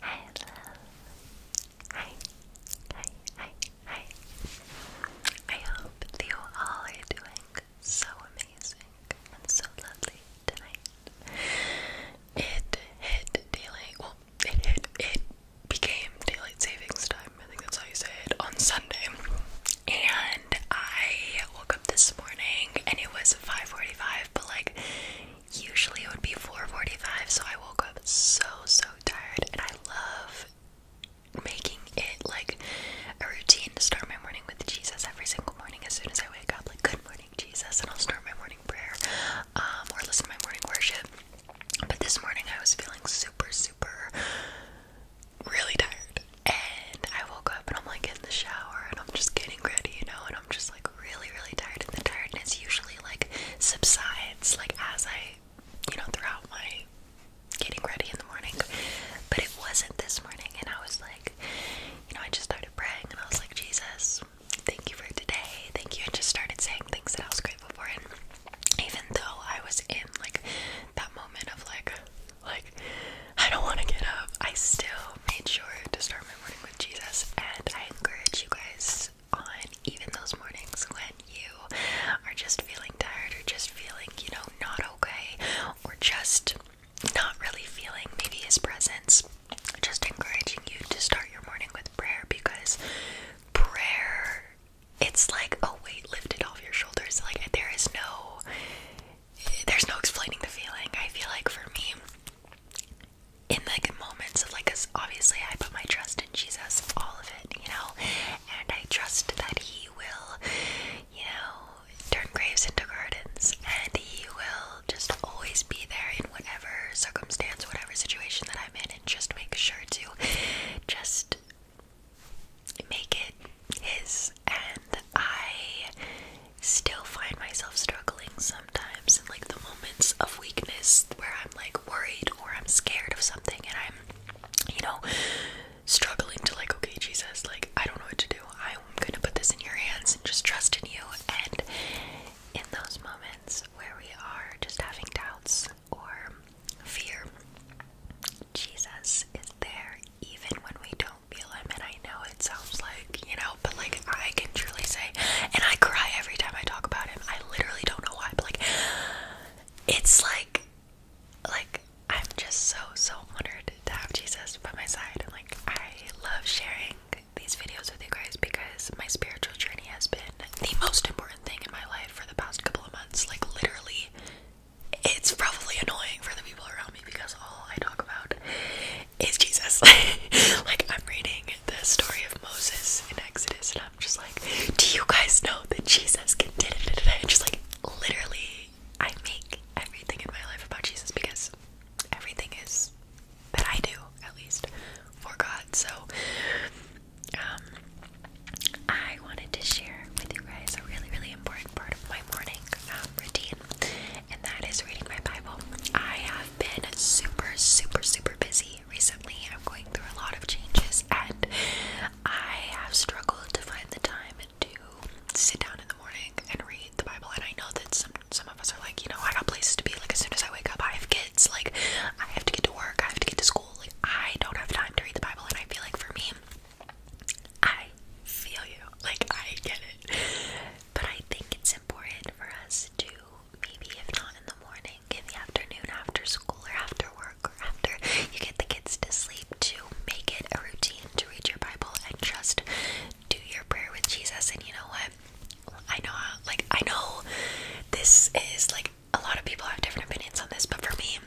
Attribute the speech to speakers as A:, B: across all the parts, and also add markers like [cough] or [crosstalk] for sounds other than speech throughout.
A: Hi, Hi. Hi. Hi. Hi. I hope that you doing so amazing and so lovely tonight. It hit daylight. Well, it hit. It became daylight savings time. I think that's how you say it on Sunday. And I woke up this morning and it was 5:45, but like Usually it would be 4:45, so I woke up so so tired, and I love making it like a routine to start my morning with Jesus every single morning. As soon as I wake up, like good morning Jesus, and I'll start my morning prayer um, or listen to my morning worship. But this morning I was feeling super super really tired, and I woke up and I'm like in the shower and I'm just getting ready, you know, and I'm just like really, really tired, and the tiredness usually like subsides like as I, you know, throughout my getting ready in the morning. But it wasn't this morning, and I was like, you know, I just started praying, and I was like, Jesus, thank you for today, thank you, and just started saying things that I was grateful for. And even though I was in like that moment of like, like I don't want to get up, I still made sure to start my morning with Jesus, and I encourage you guys on even those mornings when you are just feeling tired or just feeling, you know, not okay or just not really feeling maybe his presence. Just encouraging you to start your morning with prayer because prayer it's like a weight lifted off your shoulders. Like there is no there's no explaining the feeling. I feel like for me, in like moments of like, cause obviously I put my trust in Jesus, all of it, you know, and I trust that He will, you know, turn graves into gardens, and He will just always be there in whatever circumstance, whatever situation that I'm in, and just make sure to just make it his. And I still find myself struggling sometimes in like the moments of weakness where I'm like worried or I'm scared of something and I'm, you know, struggling to like, okay, Jesus, like I don't know what to do. I'm gonna put this in your hands and just trust in you. And in those moments where we are just having doubts or fear, Jesus is there even when we don't feel him, and I know it sounds like, you know, but like I can truly say, and I cry every time I talk about him. I literally don't know why, but like it's like, like I'm just so so honored to have Jesus by my side, and like I love sharing these videos with you guys because my spiritual journey has been the most important thing in my life for the past couple of months. Like literally, it's probably annoying for the people around me because all I talk about is Jesus. [laughs] like, I'm reading the story of Moses in Exodus, and I'm just like, do you guys know that Jesus can do it? And just like, literally, I make everything in my life about Jesus because everything is that I do, at least, for God. So, um, I wanted to share with you guys a really, really important part of my morning um, routine, and that is reading my Bible. I have been super, super, super busy recently. I'm going through a lot of changes, and I have struggled to find the time to sit down in the morning and read the Bible. And I know that some some of us are like, you know, I got places to be. Like as soon as I wake up, I have kids. Like I have to get to work. I have to get to school. Like I don't have time to read the Bible. And I feel like for me, I feel you. Like I get it. But I think it's important for us to maybe, if not in the morning, in the afternoon, after school, or after work, or after you get the kids to sleep, to make it a routine to read your Bible and just do your prayer with Jesus. And you know what? I know, like, I know this is like a lot of people have different opinions on this, but for me,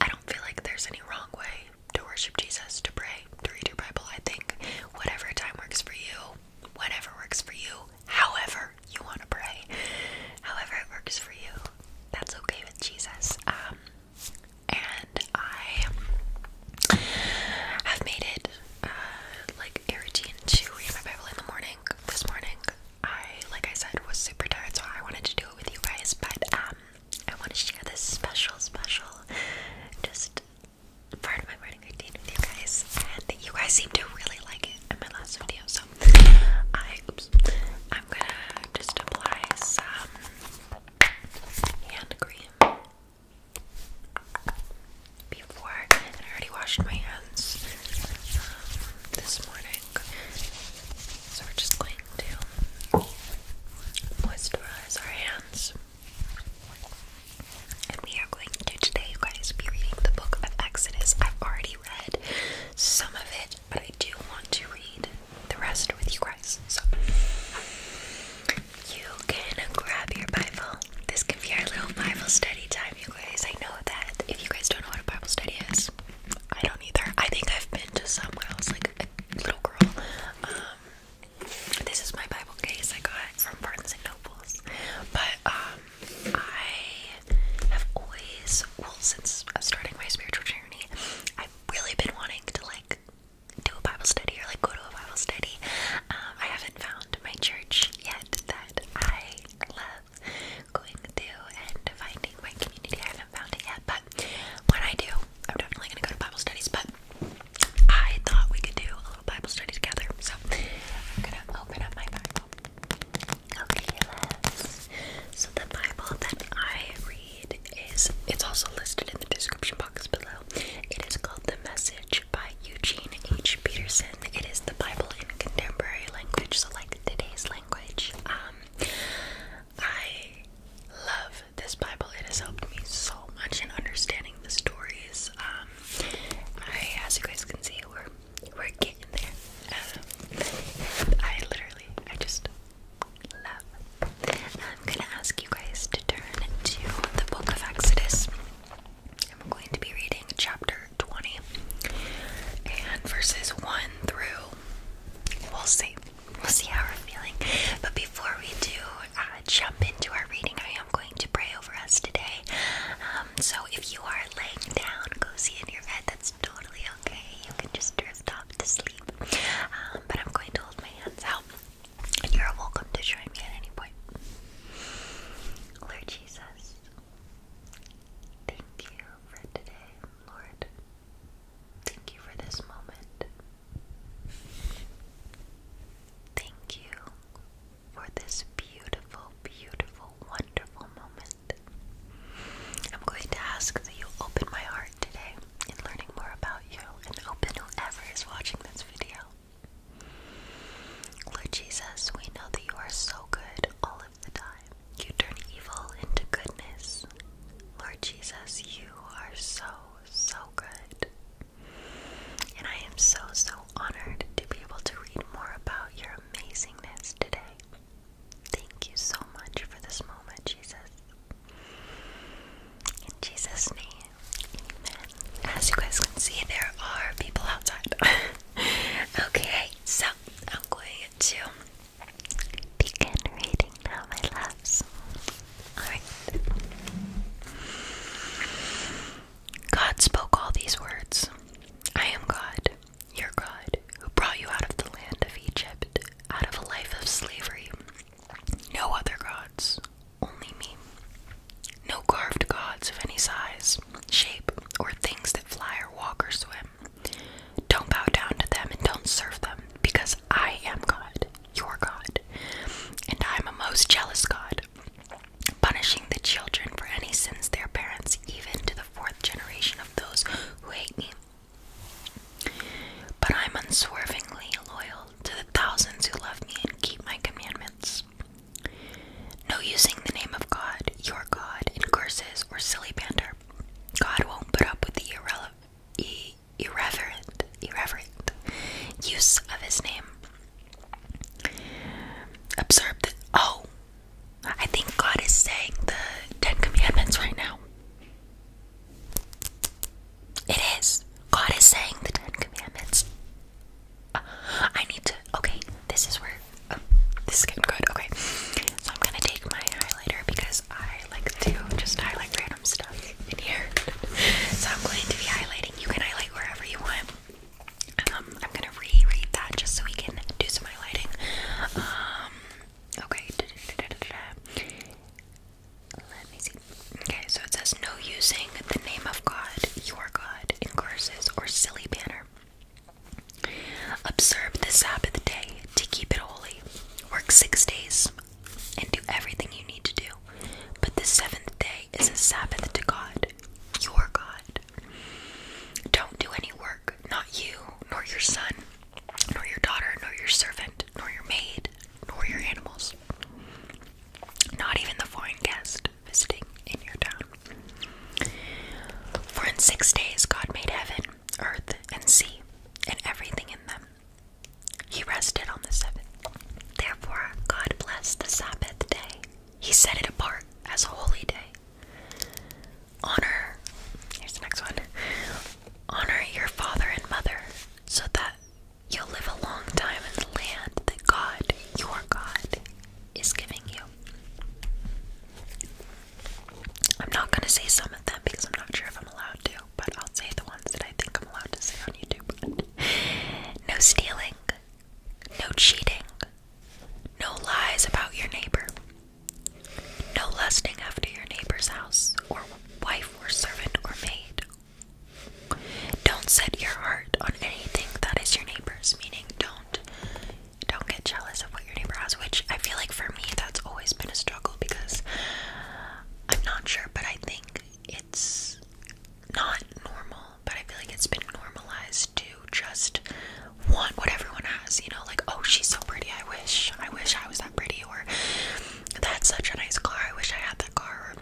A: I don't feel like there's any wrong way to worship Jesus, to pray, to read your Bible. I think whatever time works for you, whatever works for you, however you want to pray, however it works for you, that's okay with Jesus. Um, and I have made it uh, like a routine to read my Bible in the morning. This morning, I, like I said, was super tired, so I wanted to do it with you guys, but um, I want to share this special, special, just part of my morning routine with you guys, and you guys seem to really like it in my last video. So I, am gonna just apply some hand cream before. I already washed my hands um, this morning, so we're just going to moisturize our hands. And we are going to today, you guys, be reading the book of Exodus. I've already read some of it, but I do want to read the rest with you guys. So you can grab your Bible. This can be our little Bible study time, you guys. I know that if you guys don't know what a Bible study is, I don't either. I think I've been to some when I was like a little girl. Um, this is my Bible case I got from Barnes and Noble's. But um I have always well since starting my spiritual journey, I've really been wanting to like do a Bible study or like go to a Bible study. Um, I haven't found my church yet that I love going to and finding my community. I haven't found it yet, but but I do, I'm definitely gonna go to Bible studies. But I thought we could do a little Bible study together. So I'm gonna open up my Bible. Okay, let So the Bible that I read is it's also listed in the description box below. It is called The Message by Eugene H. Peterson. It is the Bible in contemporary language, so like today's language. Um, I love this Bible. It has helped me so much in understanding the stories. Um, I, as you guys can see, we're we're getting there. Um, I literally, I just love. I'm gonna ask you guys to turn to the Book of Exodus. I'm going to be reading chapter 20 and verses 1 through, we'll see, We'll see how we're feeling. But before we do uh, jump into our reading, I am going to pray over us today. Um, so if you are laying down cozy in your bed, that's totally okay. You can just drift off to sleep. Um, but I'm going to hold my hands out. And you're welcome to join me at any point. Lord Jesus, thank you for today, Lord. Thank you for this moment. Thank you for this beautiful, beautiful, wonderful moment. I'm going to ask that you open my heart today in learning more about you and open whoever is watching this video. Lord Jesus, we know that you are so good all of the time. You turn evil into goodness. Lord Jesus, you are so so good. And I am so, so honored to be able to read more about your amazingness today. Thank you so much for this moment, Jesus. In Jesus' name, amen. As you guys can see, there are people outside. [laughs] okay, so I'm going to begin reading now, my loves. God spoke all these words I am God, your God, who brought you out of the land of Egypt, out of a life of slavery. No other gods, only me. No carved gods of any size, shape, or things that fly or walk or swim. Don't bow down to them and don't serve them, because I am God, your God, and I am a most jealous God, punishing the children for any sins their parents, even to the fourth generation of those who hate me. But I am unswervingly loyal to the thousands who love me and keep my commandments. No using the name of God, your God, in curses or silly banter. God won't put up with the irrele irreverent, irreverent use of his name. Observe that. Oh, I think God is saying the Ten Commandments right now. It is. God is saying the Ten Commandments. I need to. Okay, this is where. Oh, this is getting good. Okay, so I'm gonna take my highlighter because. I like to just highlight random stuff in here. [laughs] so I'm going to be highlighting. You can highlight wherever you want. Um, I'm gonna reread that just so we can do some highlighting. Um, okay. Let me see. Okay, so it says no using the name of God, your God, in curses or silly banner. Observe the Sabbath day to keep it holy. Work six days and do everything you need to do. But the seventh day is a Sabbath to God, your God. Don't do any work, not you, nor your son, nor your daughter, nor your servant, nor your maid, nor your animals. Not even the foreign guest visiting in your town. For in six days God made heaven, earth, and sea, and everything in them he rested on the seventh. Therefore, God blessed the Sabbath day. He set it apart as a holy day. Honor, here's the next one. Honor your father and mother so that you'll live a long time in the land that God, your God, is giving you. I'm not going to say some of them because I'm not sure if I'm allowed to but I'll say the ones that I think I'm allowed to say on YouTube. [laughs] no stealing, no cheating, no lies about your neighbor, no lusting after your neighbor's house, or wife, or servant, or maid. Don't set your heart on anything that is your neighbor's, meaning don't don't get jealous of what your neighbor has, which I feel like for me that's always been a struggle because I'm not sure, but I think it's not normal, but I feel like it's been normalized to just want what everyone has, you know, like, oh, she's so pretty, I wish, I wish I was that pretty, or that's such a nice car, I wish I had that car,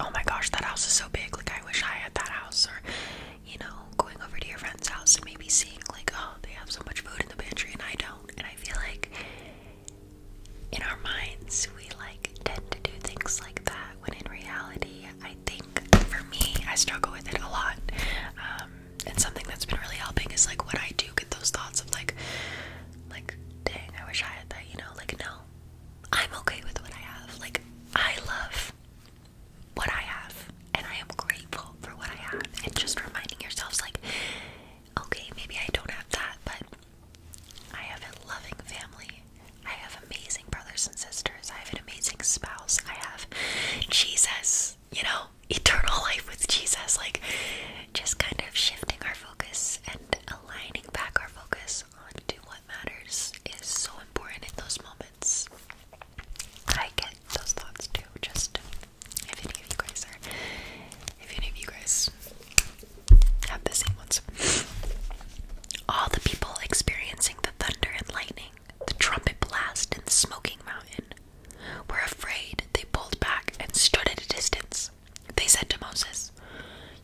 A: oh my gosh, that house is so big, like, I wish I had that house, or you know, going over to your friend's house and maybe seeing, like, oh, they have so much food in the pantry and I don't, and I feel like in our minds, we like tend to do things like that when in reality, I think for me, I struggle with it a lot. Um, and something that's been really helping is like when I do get those thoughts of like, like, dang, I wish I had that, you know, like, no, I'm okay with what I have. Like, I love what I have and I am grateful for what I have. And just reminding yourselves, like, Okay, maybe I don't have that, but I have a loving family. I have amazing brothers and sisters. I have an amazing spouse. I have Jesus, you know, [laughs] eternal life with Jesus. Like, just kind of shifting our focus and aligning back our focus onto what matters is so important in those moments. I get those thoughts too, just if any of you guys if any of you guys have the same ones, all the people experiencing the thunder and lightning, the trumpet blast, and the smoking mountain were afraid. They pulled back and stood at a distance. They said to Moses,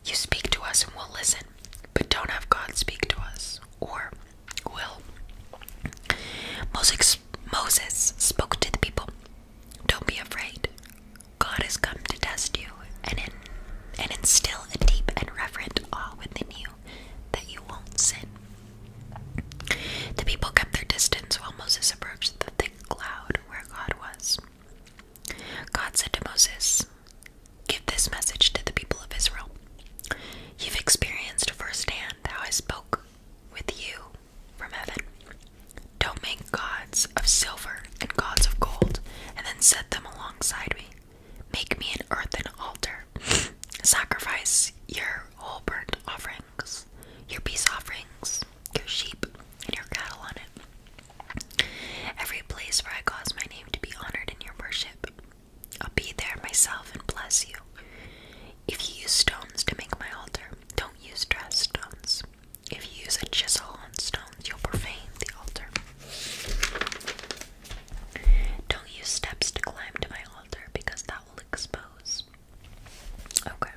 A: You speak to us and we'll listen, but don't have God speak to us, or will. Moses, Moses spoke to the people. Don't be afraid. God has come to test you and, and instill a deep and reverent awe within you that you won't sin. The people kept their distance while Moses approached the thick cloud where God was. God said to Moses, Give this message to the people of Israel. You've experienced firsthand how I spoke with you from heaven. Don't make gods of silver and gods of gold, and then set them alongside me. Make me an earthen altar. [laughs] Sacrifice your whole burnt offerings, your peace offerings, your sheep, and your cattle on it. Every place where I cause my name to be honored in your worship, I'll be there myself and bless you. If you use stones to make my altar, don't use dressed stones. If you use a chisel on stones, you'll profane the altar. Don't use steps to climb to my altar because that will expose. Okay.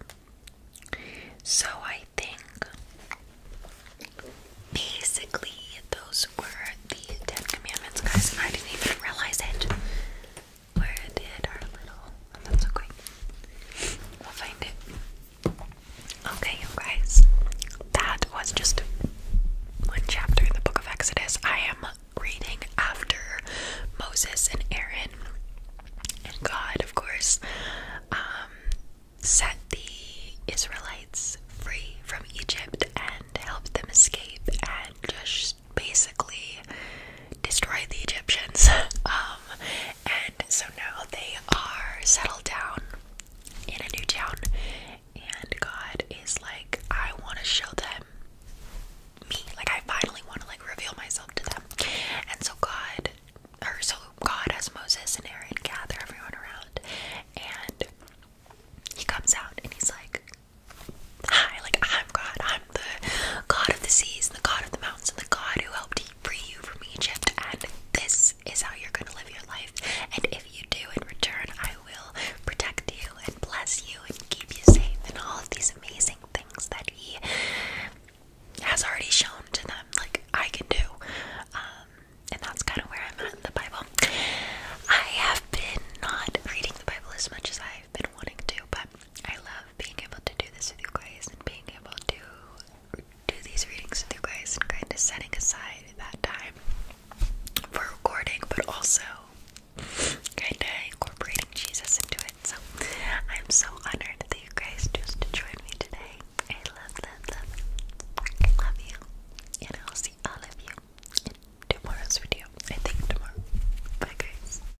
A: So I think basically those were the Ten Commandments, guys, and I didn't even realize it where it did our little. Oh, that's okay. We'll find it. Okay, guys. That was just one chapter in the book of Exodus. I am reading after Moses and Aaron and God, of course, um, set the Israelites free from Egypt and helped them escape and just basically destroy the Egyptians. [laughs] um, and so now they are settled down in a new town, and God is like, I want to show them me. Like I finally want to like reveal myself to them. And so God, or so God has Moses and Aaron gather everyone around, and he comes out and he's like, Hi, like I'm God, the god of the seas, and the god of the mountains, and the god who helped free you from Egypt. And this is how you're going to live your life. And if you do in return, I will protect you and bless you and keep you safe and all of these amazing things that he has already shown to them, like I can do. Um, and that's kind of where I'm at in the Bible. I have been not reading the Bible as much as I've been wanting to, but I love love being able to do this with you guys and being able to do these readings with you guys and kind of setting aside that time for recording, but also kind of incorporating Jesus into it. So I'm so honored that you guys chose to join me today. I love, love, love, I love you, and I'll see all of you in tomorrow's video. I think tomorrow. Bye, guys.